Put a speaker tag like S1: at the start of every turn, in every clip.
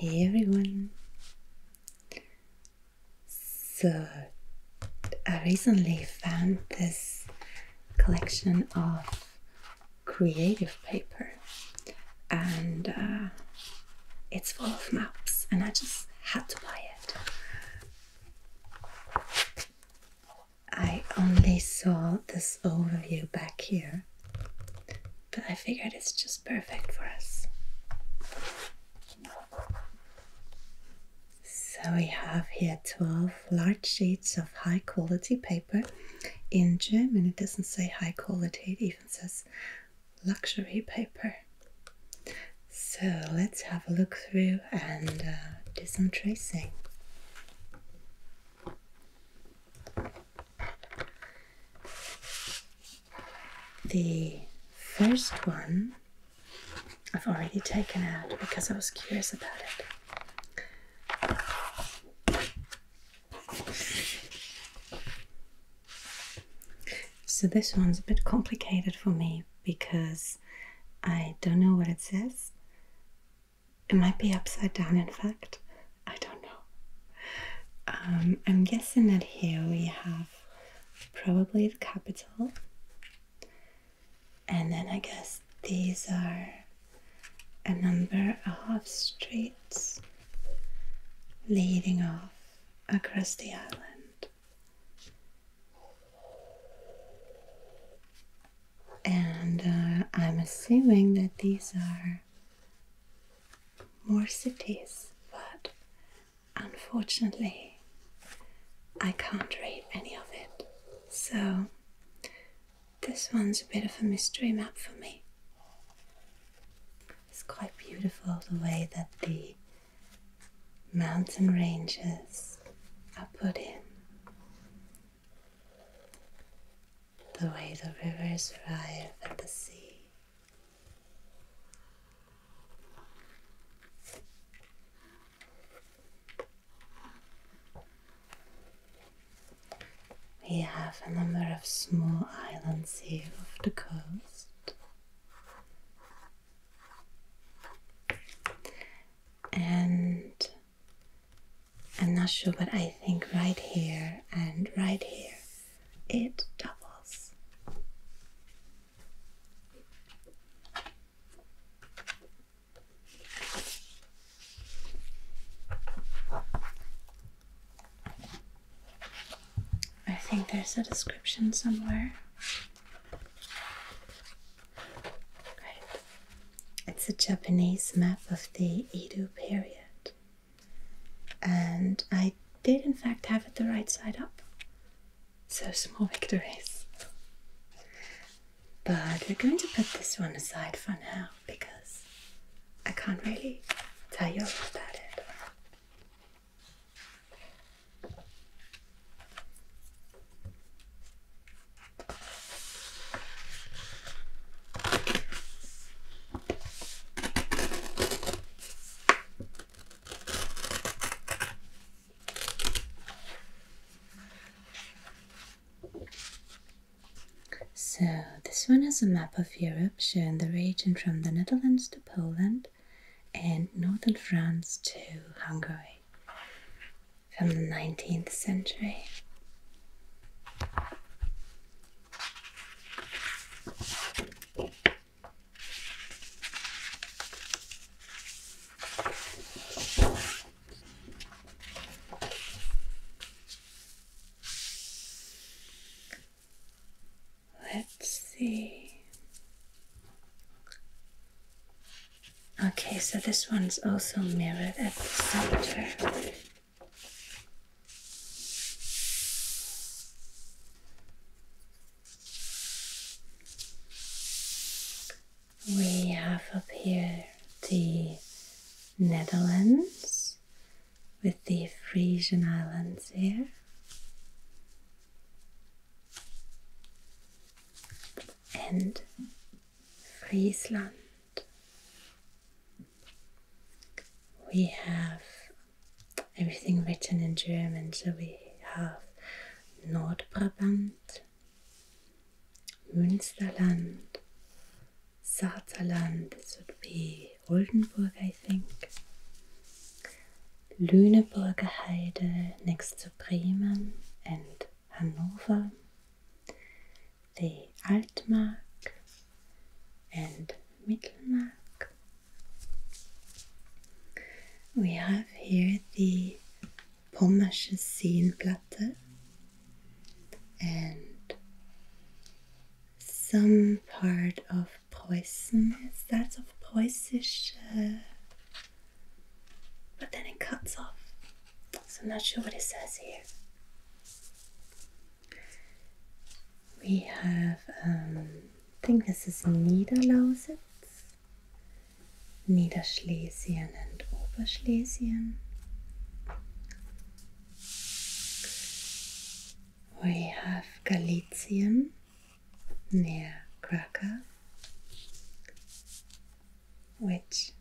S1: Hey everyone! So, I recently found this collection of creative paper and uh, it's full of maps, and I just had to buy it. I only saw this overview back here, but I figured it's just perfect for us. So we have here 12 large sheets of high quality paper. In German, it doesn't say high quality, it even says luxury paper. So let's have a look through and uh, do some tracing. The first one I've already taken out because I was curious about it. So this one's a bit complicated for me because I don't know what it says it might be upside down, in fact. I don't know. Um, I'm guessing that here we have probably the capital. And then I guess these are a number of streets leading off across the island and uh, I'm assuming that these are more cities, but unfortunately, I can't read any of it. So, this one's a bit of a mystery map for me. It's quite beautiful the way that the mountain ranges are put in the way the rivers arrive at the sea. We have a number of small islands here off the coast. And I'm not sure, but I think right here and right here it doubles. I think there's a description somewhere. Great. It's a Japanese map of the Edo period. And I did, in fact, have it the right side up. So small victories. But we're going to put this one aside for now because I can't really tell you all about it. So, this one is a map of Europe showing the region from the Netherlands to Poland and northern France to Hungary from the 19th century. Let's see. Okay, so this one's also mirrored at the center. We have up here the Netherlands with the Frisian Islands here. And Friesland, we have everything written in German, so we have Nordbrabant, Münsterland, Saarland, this would be Oldenburg, I think, Lüneburger Heide next to Bremen and Hannover the Altmark and Mittelmark. We have here the Pommersche Seenplatte and some part of Preußen. It's that of Preußisch, but then it cuts off. So I'm not sure what it says here. We have, um, I think this is Niederlausitz, Niederschlesien and Oberschlesien. We have Galizien near Krakow, which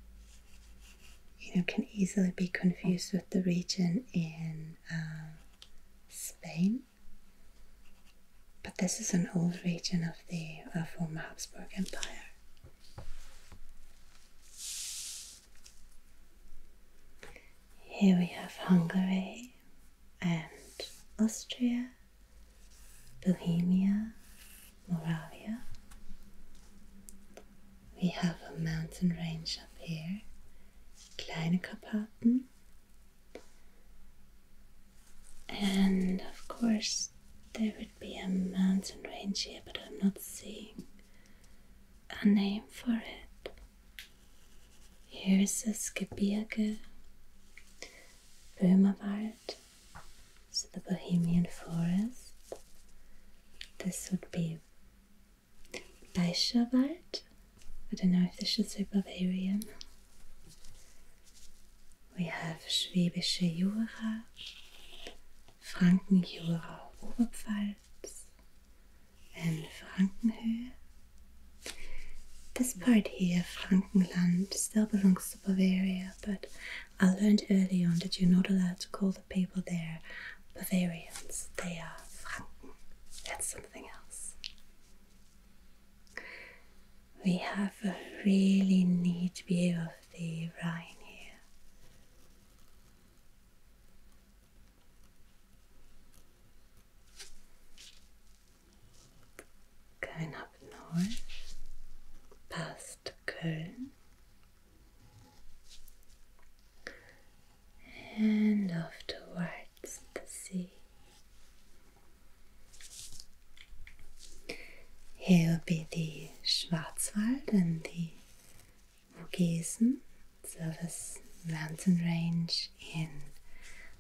S1: you know, can easily be confused with the region in um, Spain. But this is an old region of the former Habsburg Empire. Here we have Hungary and Austria, Bohemia, Moravia, we have a mountain range up here, Kleine Karpaten. And of course, there would be a mountain range here, but I'm not seeing a name for it. Here's a Skibirge, Böhmerwald, so the Bohemian forest. This would be Bayerischer Wald. I don't know if this is say Bavarian. We have Schwäbische Jura, Frankenjura Oberpfalz, and Frankenhöhe. This part here, Frankenland, still belongs to Bavaria, but I learned early on that you're not allowed to call the people there Bavarians, they are Franken. and something else. We have a really neat view of the Rhine here. Going up north, past Köln, and off the sea. Here be the Schwarzwald and the Vogesen, Service mountain range in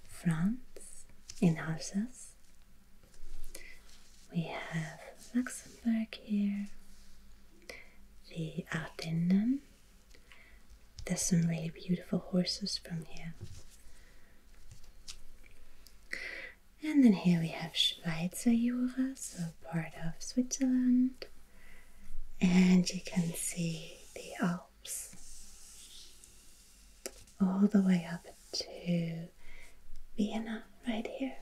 S1: France, in Alsace. We have Luxembourg here, the Ardennen. There's some really beautiful horses from here. And then here we have Schweizerjura, so part of Switzerland. And you can see the Alps all the way up to Vienna right here.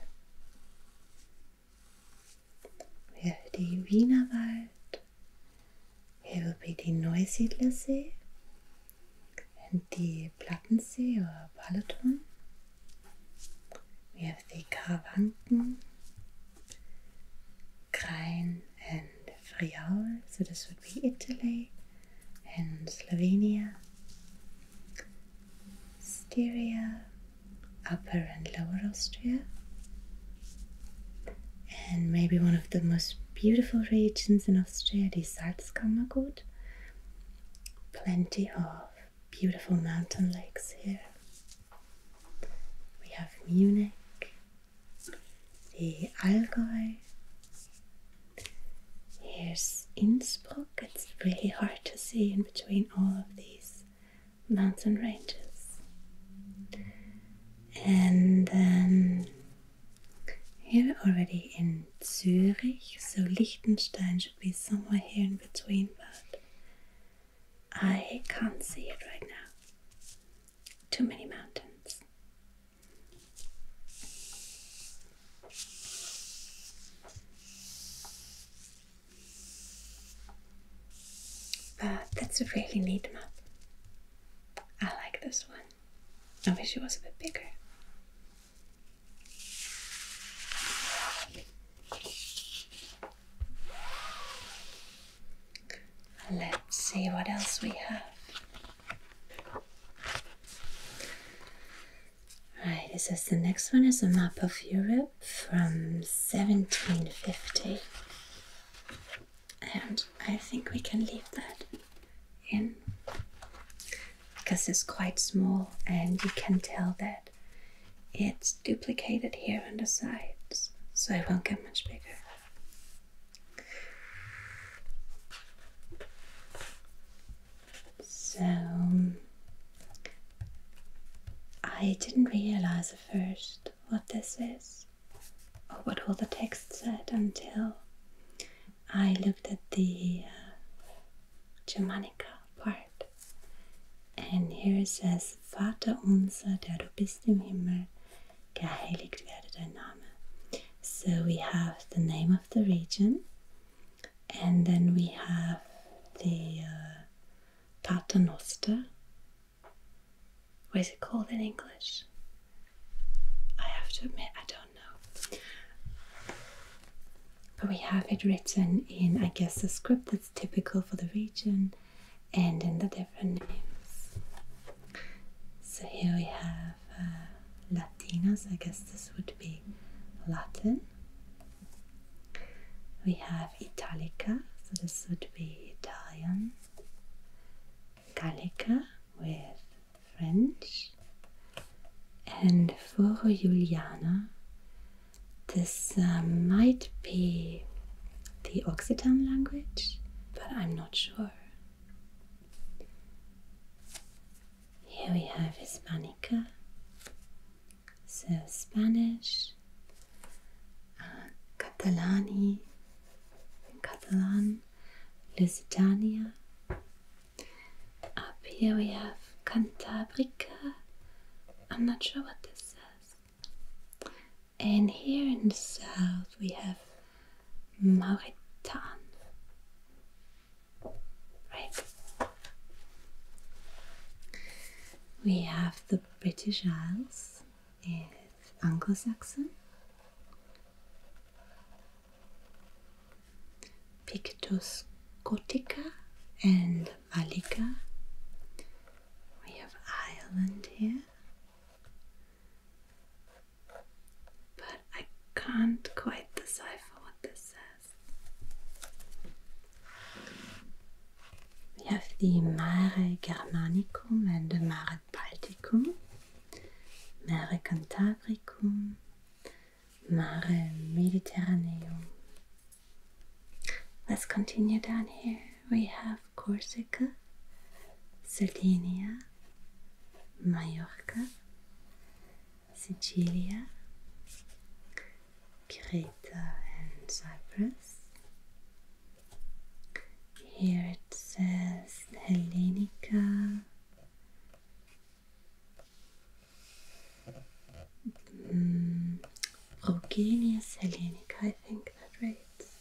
S1: will die Wienerwald, hier will be die Neusiedlersee and die Plattensee oder Balaton. We have the Karawanken, Krain and Friaul, so this would be Italy and Slovenia. Styria Upper and Lower Austria, and maybe one of the most beautiful regions in Austria, the Salzkammergut. Plenty of beautiful mountain lakes here. We have Munich, the Allgäu. Here's Innsbruck. It's really hard to see in between all of these mountain ranges. And then here already in Zurich, so Liechtenstein should be somewhere here in between, but I can't see it right now. Too many mountains. But that's a really neat map. I like this one. I wish it was a bit bigger. Let's see what else we have. Right, it says the next one is a map of Europe from 1750. And I think we can leave that in because it's quite small and you can tell that it's duplicated here on the sides, so it won't get much bigger. So I didn't realize first what this is or what all the text said until I looked at the uh, Germanica part. And here it says, Vater unser, der du bist im Himmel, geheiligt werde dein Name. So we have the name of the region, and then we have the uh, Paternoster, what is it called in English? I have to admit, I don't know. But we have it written in, I guess, the script that's typical for the region and in the different names. So here we have uh, Latinas, I guess this would be Latin. We have Italica, so this would be Italian, Gallica with French, and for Juliana. This um, might be the Occitan language, but I'm not sure. Here we have Hispanica, so Spanish, uh, Catalani, Catalan, Lusitania. Up here we have Cantabria. I'm not sure what this says. And here in the south we have Mauritania. Right. We have the British Isles is Anglo-Saxon. Pictus Gotica and Malika. We have Ireland here. But I can't quite decipher what this says. We have the Mare Germanicum and the Mare Balticum, Mare Cantabricum, Mare Mediterraneum. Let's continue down here. We have Corsica, Sardinia, Majorca, Sicilia, Crete, and Cyprus, here it says Hellenica. Mm, Progenius Hellenica, I think that reads.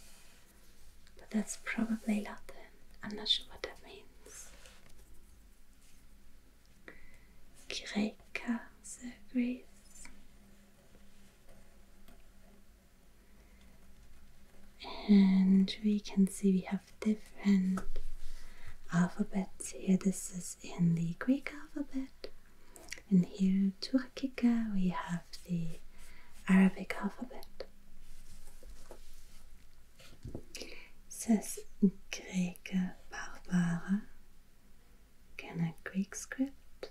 S1: But that's probably Latin. I'm not sure what that means. Greca, so Greece and we can see we have different alphabets here. This is in the Greek alphabet, and here Turkica we have the Arabic alphabet. says Greca Barbara can I quick script?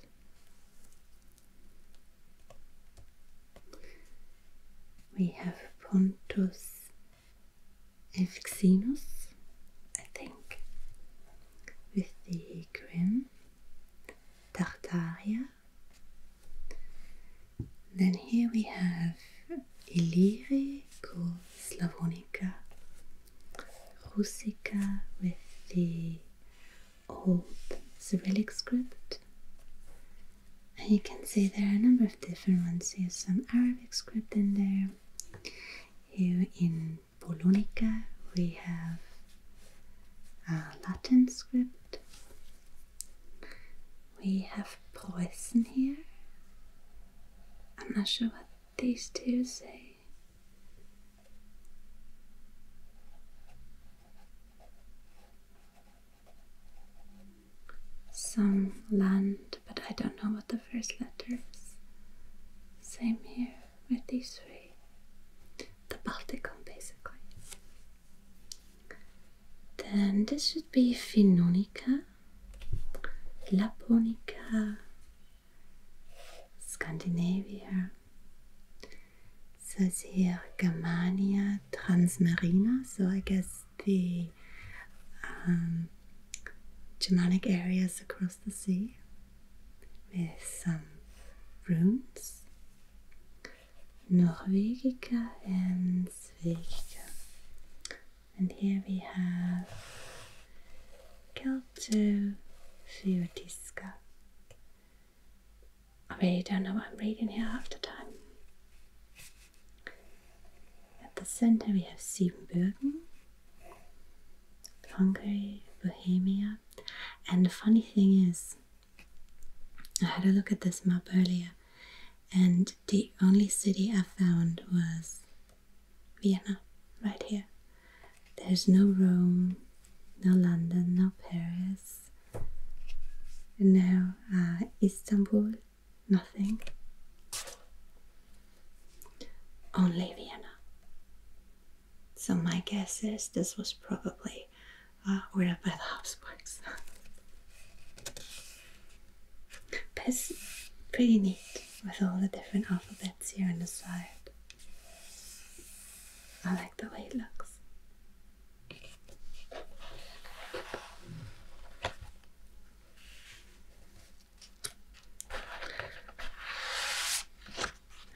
S1: We have Pontus Evxenus, I think, with the Grim, Tartaria. Then here we have Illyri Slavonica, Rusica with the old Cyrillic script. And you can see there are a number of different ones. here. some Arabic script in there. Here in Polonica we have Latin script. We have Preußen here. I'm not sure what these two say. Some land, but I don't know what the first letter is. Same here with these three. The Balticum, basically. Then this should be Finnonica, Laponica, Scandinavia, says here Germania Transmarina, so I guess the um, Germanic areas across the sea with some runes, Norvegica and Svegica. And here we have Kelto Fiotiska I really don't know what I'm reading here half the time. At the center we have Siebenbürgen, Hungary, Bohemia. And the funny thing is, I had a look at this map earlier, and the only city I found was Vienna, right here. There's no Rome, no London, no Paris, no uh, Istanbul, nothing. Only Vienna. So my guess is this was probably uh, where by the Habsburgs. but it's pretty neat with all the different alphabets here on the side. I like the way it looks.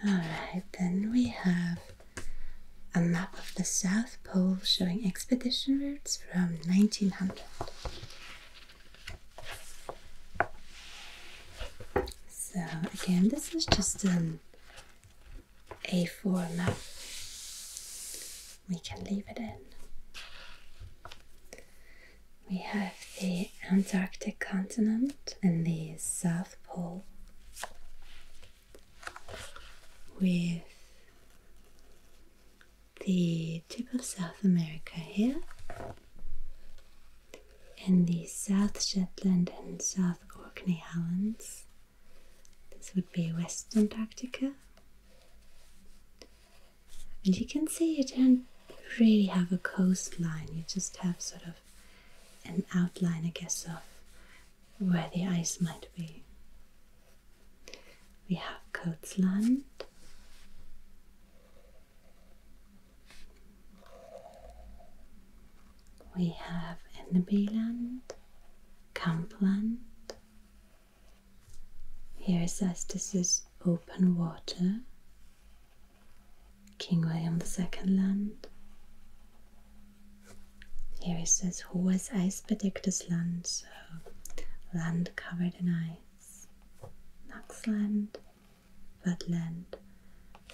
S1: Alright, then we have a map of the South Pole showing expedition routes from 1900. So, again, this is just an um, a4 now. We can leave it in. We have the Antarctic continent and the South Pole with the tip of South America here in the South Shetland and South Orkney Islands. This would be West Antarctica. And you can see you don't really have a coastline, you just have sort of an outline, I guess, of where the ice might be. We have Coats Land, we have Ennebyland, Campland. Here is Estes' open water, King the second land. Here is this hohes eisbedecktes land, so land covered in ice. Naxland, Wetland,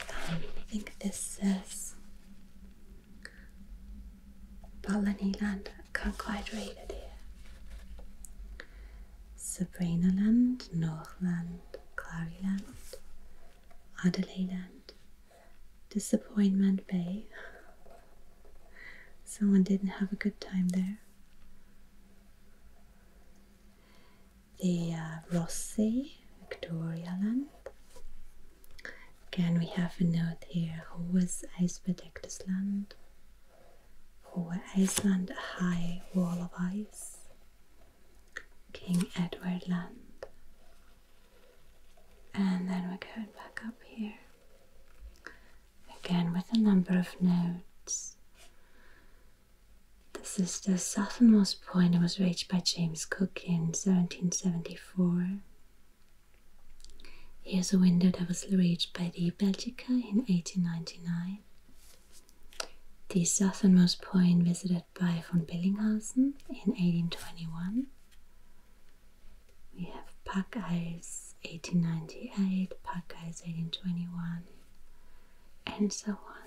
S1: I think this says Palaniland, can't quite read it here. Sabrina Land, Northland, Claryland, Adelaideland, Disappointment Bay. Someone didn't have a good time there the uh, Ross Sea, Victoria Land. Again, we have a note here. who Hoes icebedeckt land. Hohe Iceland, a high wall of ice. King Edward Land. And then we're going back up here. Again, with a number of notes. This is the southernmost lowest point was reached by James Cook in 1774. Here's a window that was reached by the Belgica in 1899. The southernmost point visited by von Billinghausen in 1821. We have Pack Ice 1898, Pack Ice 1821, and so on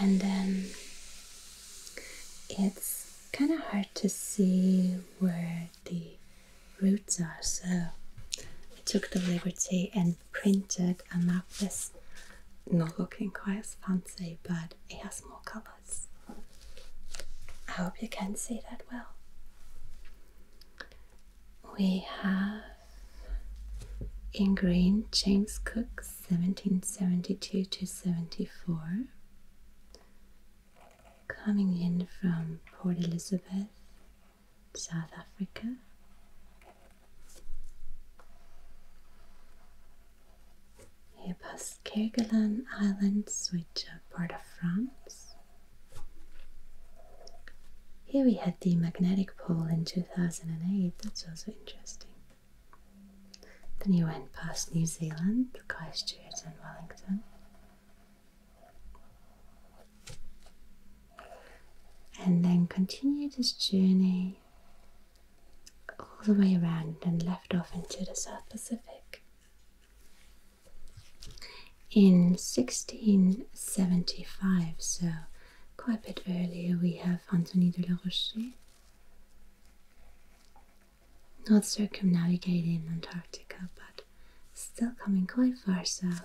S1: and then it's kind of hard to see where the roots are so I took the liberty and printed a map this not looking quite as fancy but it has more colours I hope you can see that well we have Ingrain James Cook 1772 to 74 coming in from Port Elizabeth, South Africa. He passed Kerguelen Islands, which are part of France. Here we had the magnetic pole in 2008, that's also interesting. Then he went past New Zealand, Christchurch, and Wellington. And then continued his journey all the way around and left off into the South Pacific. In 1675, so Quite a bit earlier we have Anthony de la Rocher not circumnavigating Antarctica but still coming quite far south.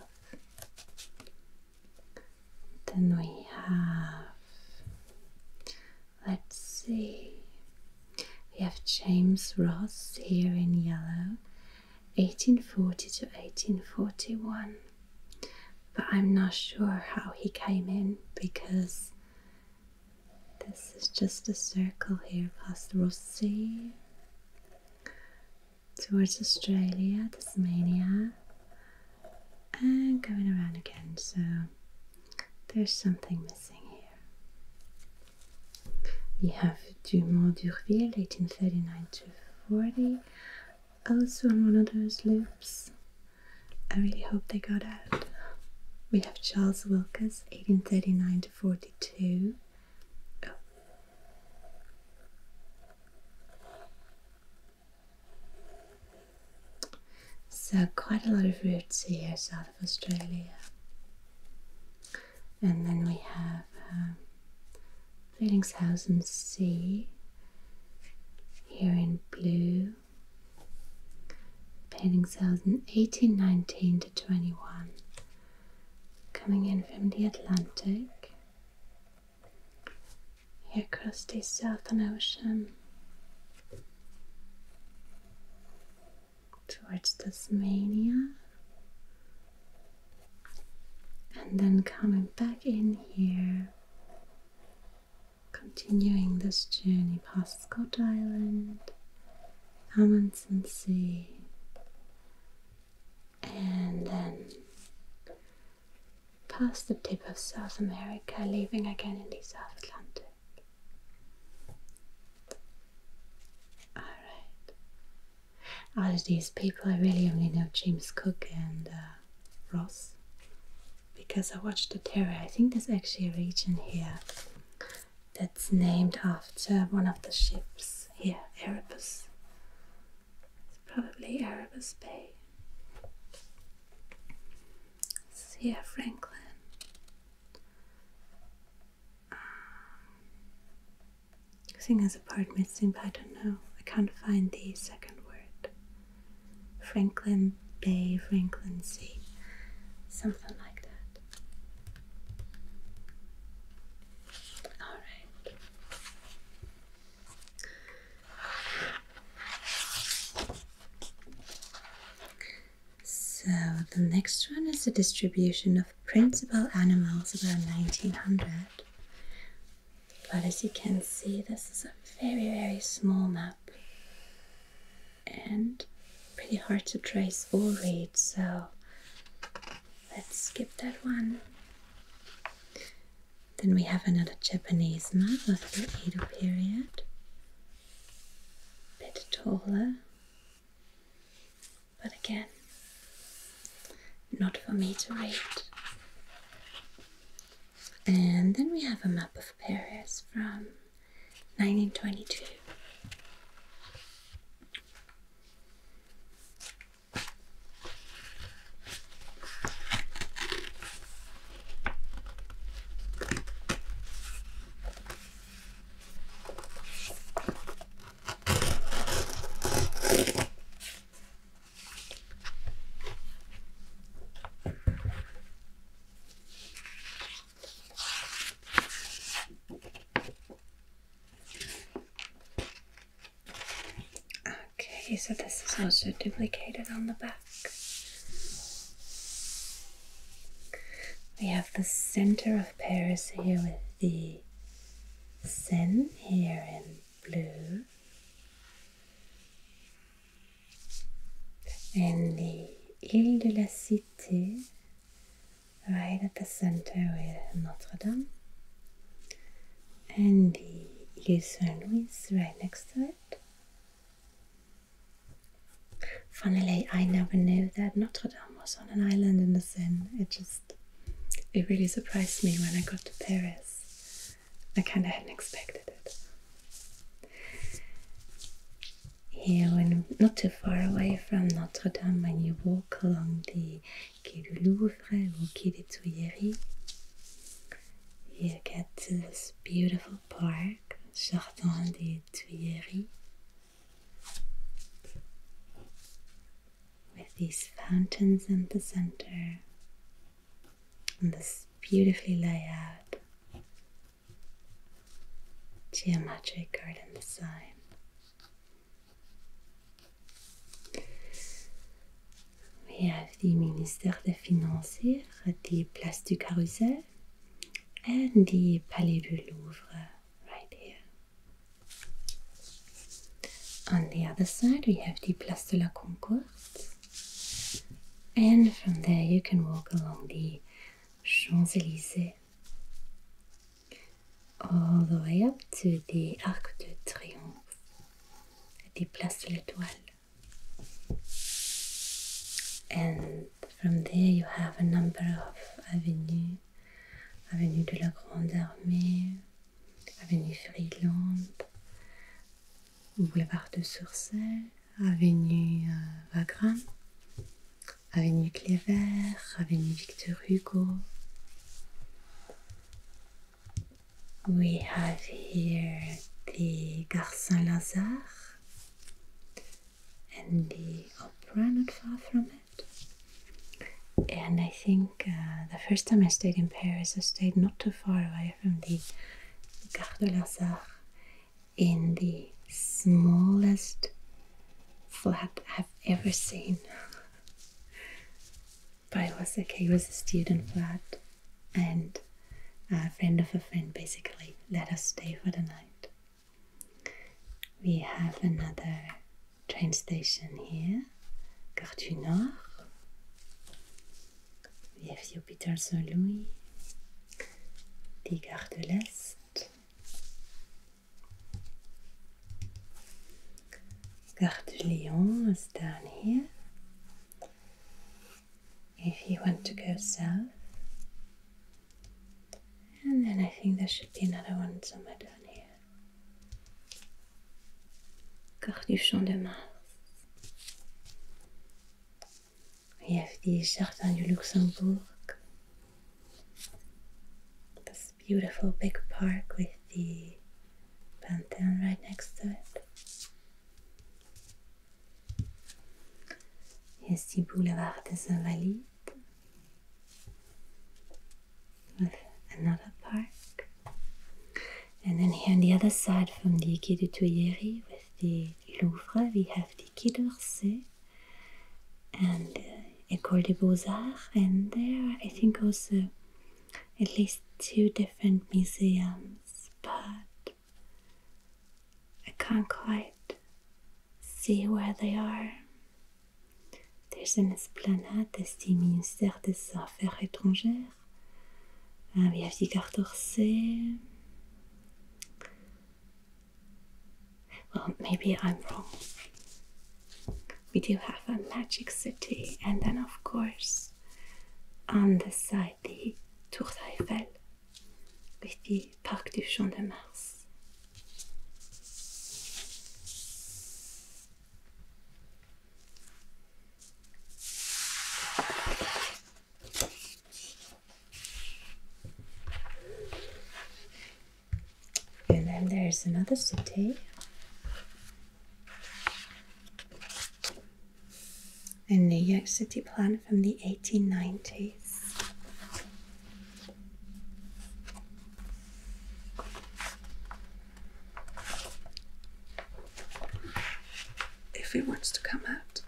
S1: Then we have, let's see, we have James Ross here in yellow 1840 to 1841. But I'm not sure how he came in because this is just a circle here past the Ross towards Australia, Tasmania, and going around again. So there's something missing here. We have Dumont d'Urville, 1839 to 40, also on one of those loops. I really hope they got out. We have Charles Wilkes, 1839 to 42. So, quite a lot of roots here south of Australia. And then we have. Um, Felixshausen C here in blue. Felixshausen 18, 19 to 21 coming in from the Atlantic. Here across the Southern Ocean towards Tasmania and then coming back in here, continuing this journey past Scott Island, Amundsen Sea, and then past the tip of South America, leaving again in the South Atlantic. Alright, out of these people, I really only know James Cook and uh, Ross because I watched the Terra. I think there's actually a region here that's named after one of the ships here, Erebus. It's probably Erebus Bay. It's here, Franklin. Um, Using has a part missing, but I don't know. I can't find the second word. Franklin Bay, Franklin Sea, something like that. Alright. So the next one is the distribution of principal animals about 1900. But as you can see, this is a very, very small map and pretty hard to trace or read, so let's skip that one. Then we have another Japanese map of the Edo period. A bit taller. But again, not for me to read. And then we have a map of Paris from 1922. Okay, so this is also duplicated on the back. We have the center of Paris here with the Seine here in blue, and the Ile de la Cité, right at the center with Notre Dame, and the Ile Saint Louis right next to it. Finally, I never knew that Notre Dame was on an island in the Seine. It just, it really surprised me when I got to Paris. I kind of hadn't expected it. Here, when not too far away from Notre Dame, when you walk along the Quai du Louvre or Quai des Tuileries, you get to this beautiful park, Jardin des Tuileries, with these fountains in the center on this beautifully laid out geometric garden design. We have the Minister des Finances at the Place du Carrousel and the Palais du Louvre right here. On the other side, we have the Place de la Concorde and from there, you can walk along the Champs Elysees all the way up to the Arc de Triomphe the Place de l'Etoile. And from there, you have a number of avenues Avenue de la Grande Armée, Avenue Freeland, boulevard de Sursay, avenue euh, Wagram, avenue Clévert, avenue Victor Hugo. We have here the Gare Saint Lazare and the opera not far from it. And I think uh, the first time I stayed in Paris, I stayed not too far away from the Gare de Lazare in the smallest flat I've ever seen. but it was okay, it was a student flat, and a friend of a friend basically let us stay for the night. We have another train station here Hein? Gare du Nord, the hospital saint Saint-Louis, des gares de l'Est, Guard de Lyon is down here. If you want to go south, and then I think there should be another one somewhere down here. Gare du Champ de Mars. We have die Jardin du Luxembourg. This beautiful big park with the Pantheon right next to it. Here's the Boulevard des Invalides with another park. And then here on the other side from the Quai du Tuileries with the Louvre, we have the Quai d'Orsay and the uh, École des Beaux-Arts. And there I think also at least two different museums, but I can't quite see where they are. There's an esplanade, there's the Ministère des Foreign Affairs. Ah oui, Vicard Torset. Well, maybe I'm wrong. We do have a magic city, and then, of course, on the side, the Tour Eiffel with the Parc du Champ de Mars. And then there's another city. A New York City plan from the 1890s if it wants to come out.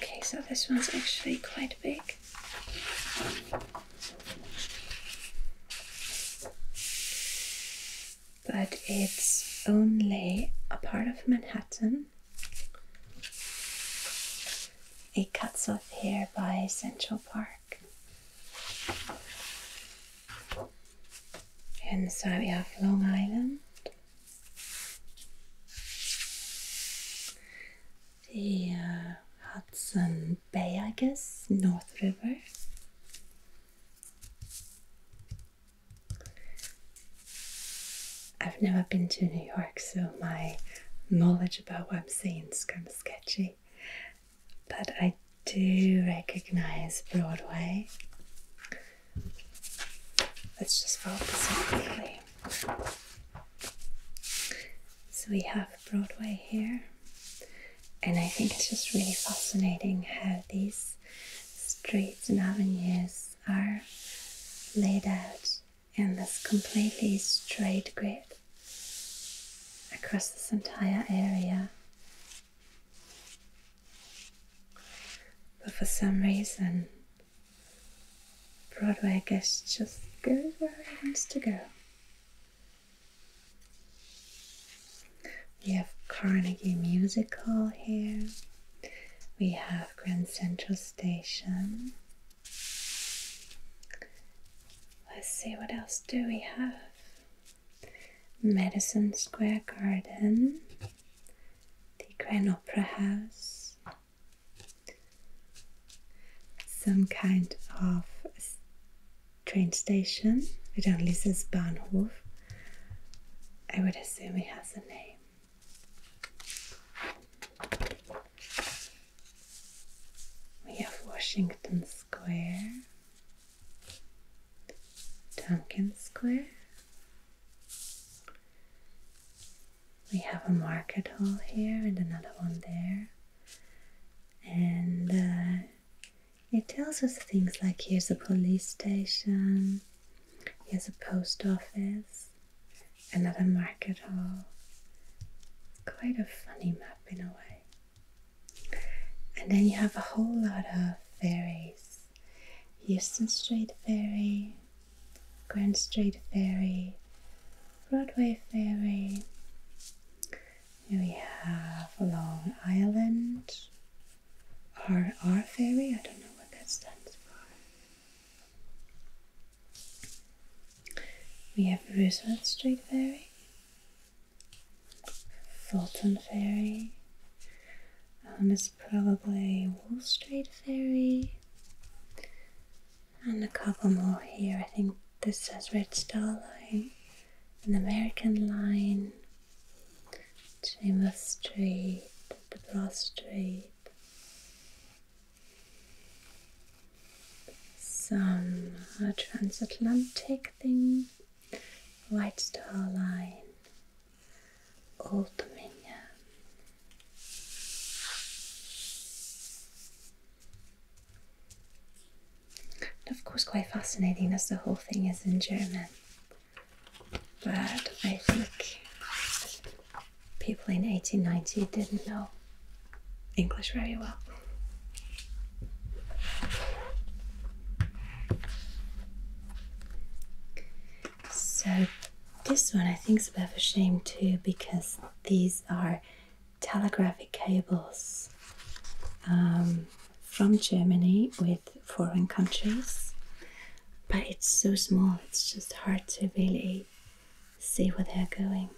S1: Okay, so this one's actually quite big but it's only a part of Manhattan. It cuts off here by Central Park. And so we have Long Island, the uh, Hudson Bay, I guess, North River, I've never been to New York, so my knowledge about what I'm seeing is kind of sketchy. But I do recognize Broadway. Let's just focus on quickly. So we have Broadway here. And I think it's just really fascinating how these streets and avenues are laid out in this completely straight grid across this entire area. But for some reason, Broadway gets just goes where it wants to go. We have Carnegie Music Hall here. We have Grand Central Station. Let's see what else do we have. Madison Square Garden, the Grand Opera House, some kind of train station. It only says Bahnhof. I would assume it has a name. We have Washington Square, Duncan Square. We have a market hall here and another one there. And uh, it tells us things like here's a police station, here's a post office, another market hall. It's quite a funny map in a way. And then you have a whole lot of ferries. Houston Street Ferry, Grand Street Ferry, Broadway Ferry, we have Long Island, R R Ferry, I don't know what that stands for. We have Roosevelt Street Ferry, Fulton Ferry, and it's probably Wall Street Ferry, and a couple more here. I think this is Red Star Line, an American Line, Chamber straight, the bra Some uh, transatlantic thing, White Star Line, Old Dominion of course, quite fascinating as the whole thing is in German. But I think people in 1890 didn't know English very well. So, this one I think is a bit of a shame too because these are telegraphic cables. Um, from Germany with foreign countries, but it's so small, it's just hard to really see where they're going.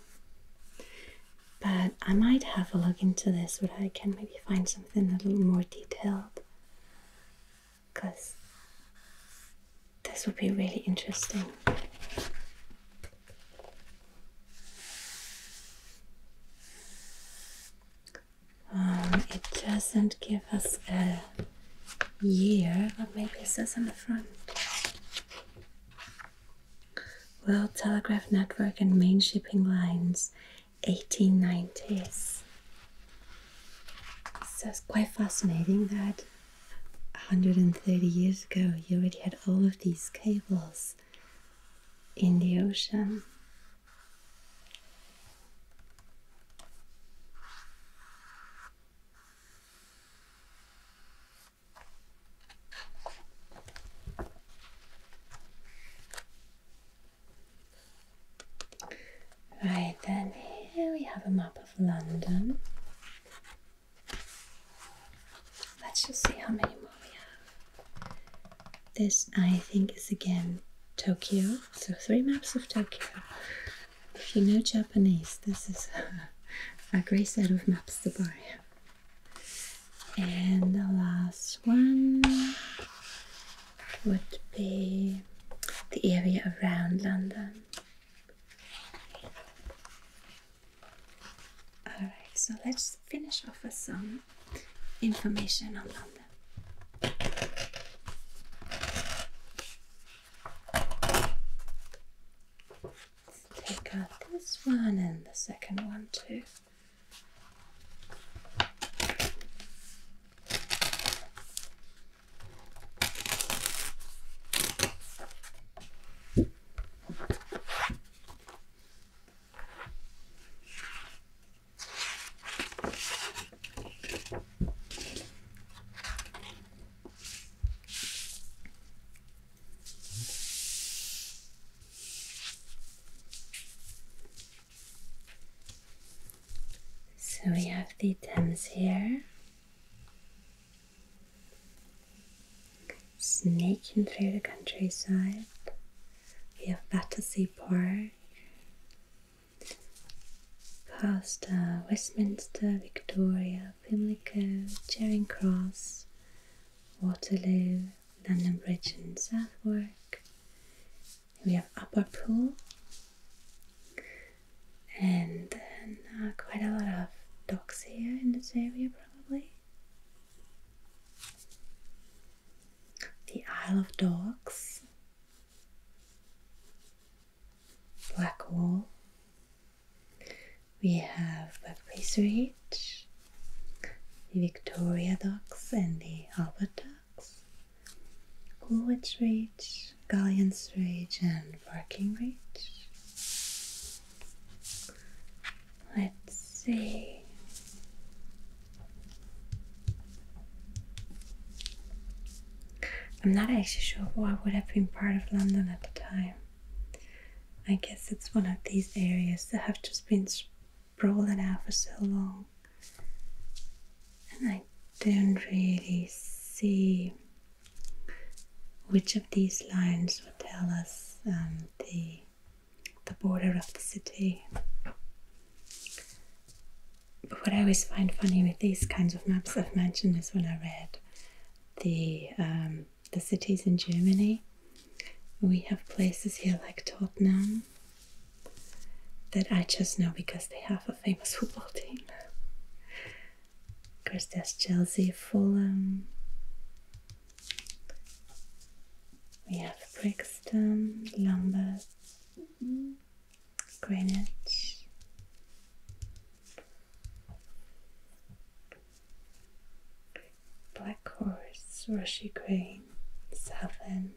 S1: But I might have a look into this, where I can maybe find something a little more detailed, because this would be really interesting. Um, it doesn't give us a year, but maybe it says on the front. World Telegraph Network and Main Shipping Lines, 1890s. So it's quite fascinating that 130 years ago you already had all of these cables in the ocean Right then, here we have a map of London. Let's just see how many more we have. This, I think, is again Tokyo. So, three maps of Tokyo. If you know Japanese, this is a, great set of maps to buy. And the last one would be the area around London. Alright, so let's finish off with some information on them. Let's take out this one and the second one too. So we have the Thames here. Snaking through the countryside. We have Battersea Port. Park, past uh, Westminster, Victoria, Pimlico, Charing Cross, Waterloo, London Bridge and Southwark. We have Upper Pool and then uh, quite a lot of docks here in this area probably the Isle of Dogs, Blackwall, we have Buckley's Reach, Victoria Docks and the Albert Docks, Coolidge Reach, Gallions Reach, and Barking Reach. Let's see. I'm not actually sure what would have been part of London at the time. I guess it's one of these areas that have just been sprawling out for so long. And I don't really see which of these lines would tell us um, the the border of the city. But what I always find funny with these kinds of maps I've mentioned is when I read the um, the cities in Germany. We have places here like Tottenham that I just know because they have a famous football team. Of course, there's Chelsea, Fulham. We have Brixton, Lambeth, Greenwich. Black Horse, Rushy Green, Southend.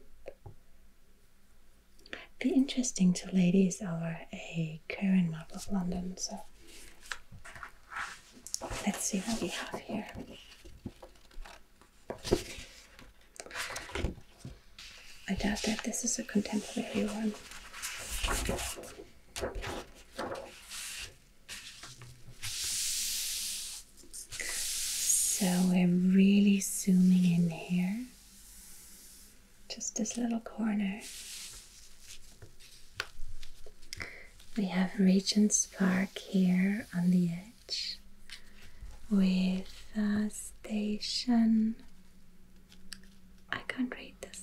S1: Be interesting to ladies over a current map of London, so let's see what we have here. I doubt that this is a contemporary one. So we're really zooming in here, just this little corner. We have Regent's Park here on the edge with a station. I can't read this.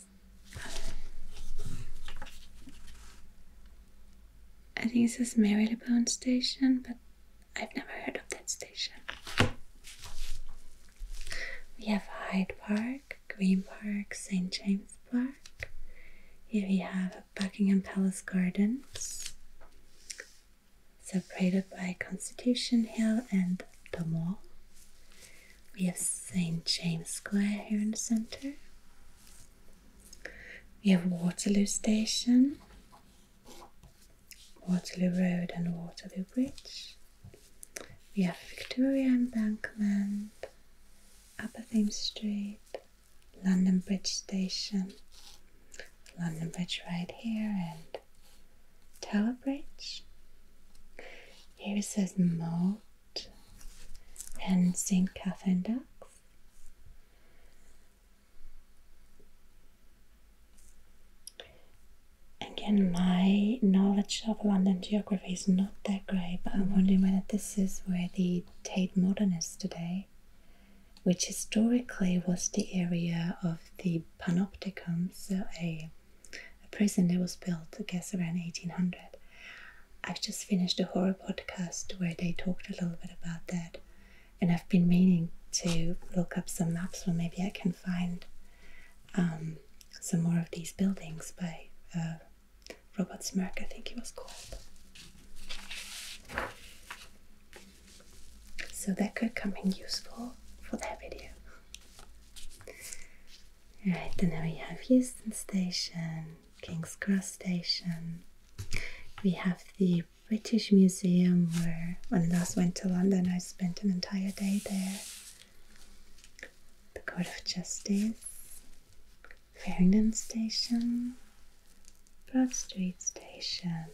S1: I think it says Marylebone Station, but I've never heard of that station. We have Hyde Park, Green Park, St. James's Park. Here we have Buckingham Palace Gardens, separated by Constitution Hill and the Mall. We have St. James Square here in the center. We have Waterloo Station, Waterloo Road, and Waterloo Bridge. We have Victoria Embankment, Upper Thames Street, London Bridge Station, London Bridge right here and Tower Bridge. Here it says Moat and St. Catherine Docks. Again, my knowledge of London geography is not that great, but I'm wondering whether this is where the Tate Modern is today which historically was the area of the Panopticon, so a, prison that was built, I guess, around 1800. I've just finished a horror podcast where they talked a little bit about that, and I've been meaning to look up some maps where maybe I can find um, some more of these buildings by uh, Robert Smirke. I think he was called. So that could come in useful for that video. Right, then we have Houston Station, King's Cross Station. We have the British Museum where when I last went to London I spent an entire day there. The Court of Justice, Farringdon Station, Broad Street Station,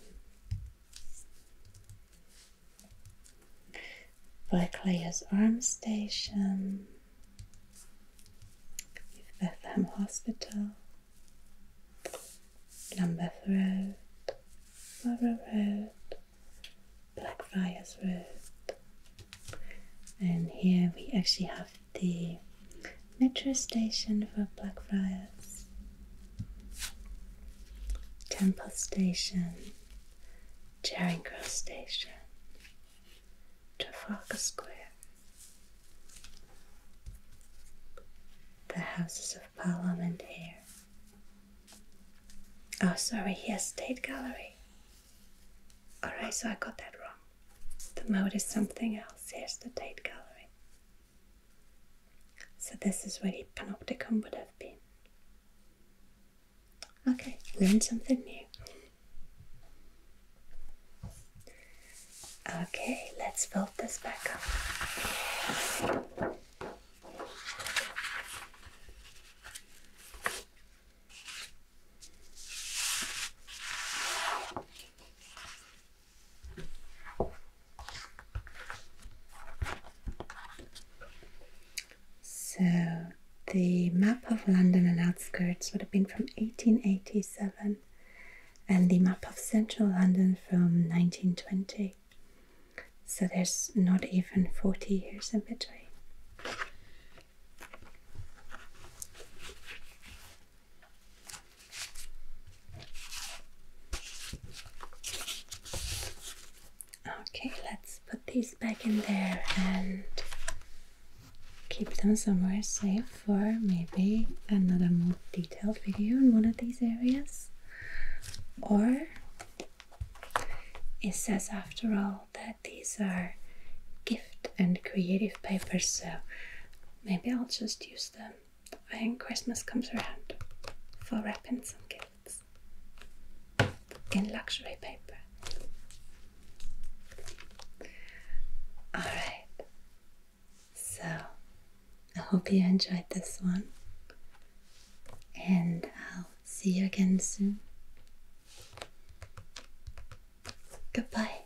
S1: Blackfriars Arm Station, Bethlehem Hospital, Lambeth Road, Borough Road, Blackfriars Road, and here we actually have the metro station for Blackfriars. Temple Station, Charing Cross Station, Trafalgar Square, the Houses of Parliament here. Oh, sorry, here, State Gallery. Alright, so I got that wrong. The mode is something else. Here's the Tate Gallery. So this is where the panopticon would have been. Okay, learn something new. Okay, let's build this back up. So the map of London and outskirts would have been from 1887 and the map of central London from 1920. So there's not even 40 years in between. Okay, let's put these back in there and keep them somewhere safe for maybe another more detailed video in one of these areas. Or it says, after all, that these are gift and creative papers, so maybe I'll just use them I think Christmas comes around for wrapping some gifts in luxury paper. Alright, so I hope you enjoyed this one, and I'll see you again soon. Goodbye.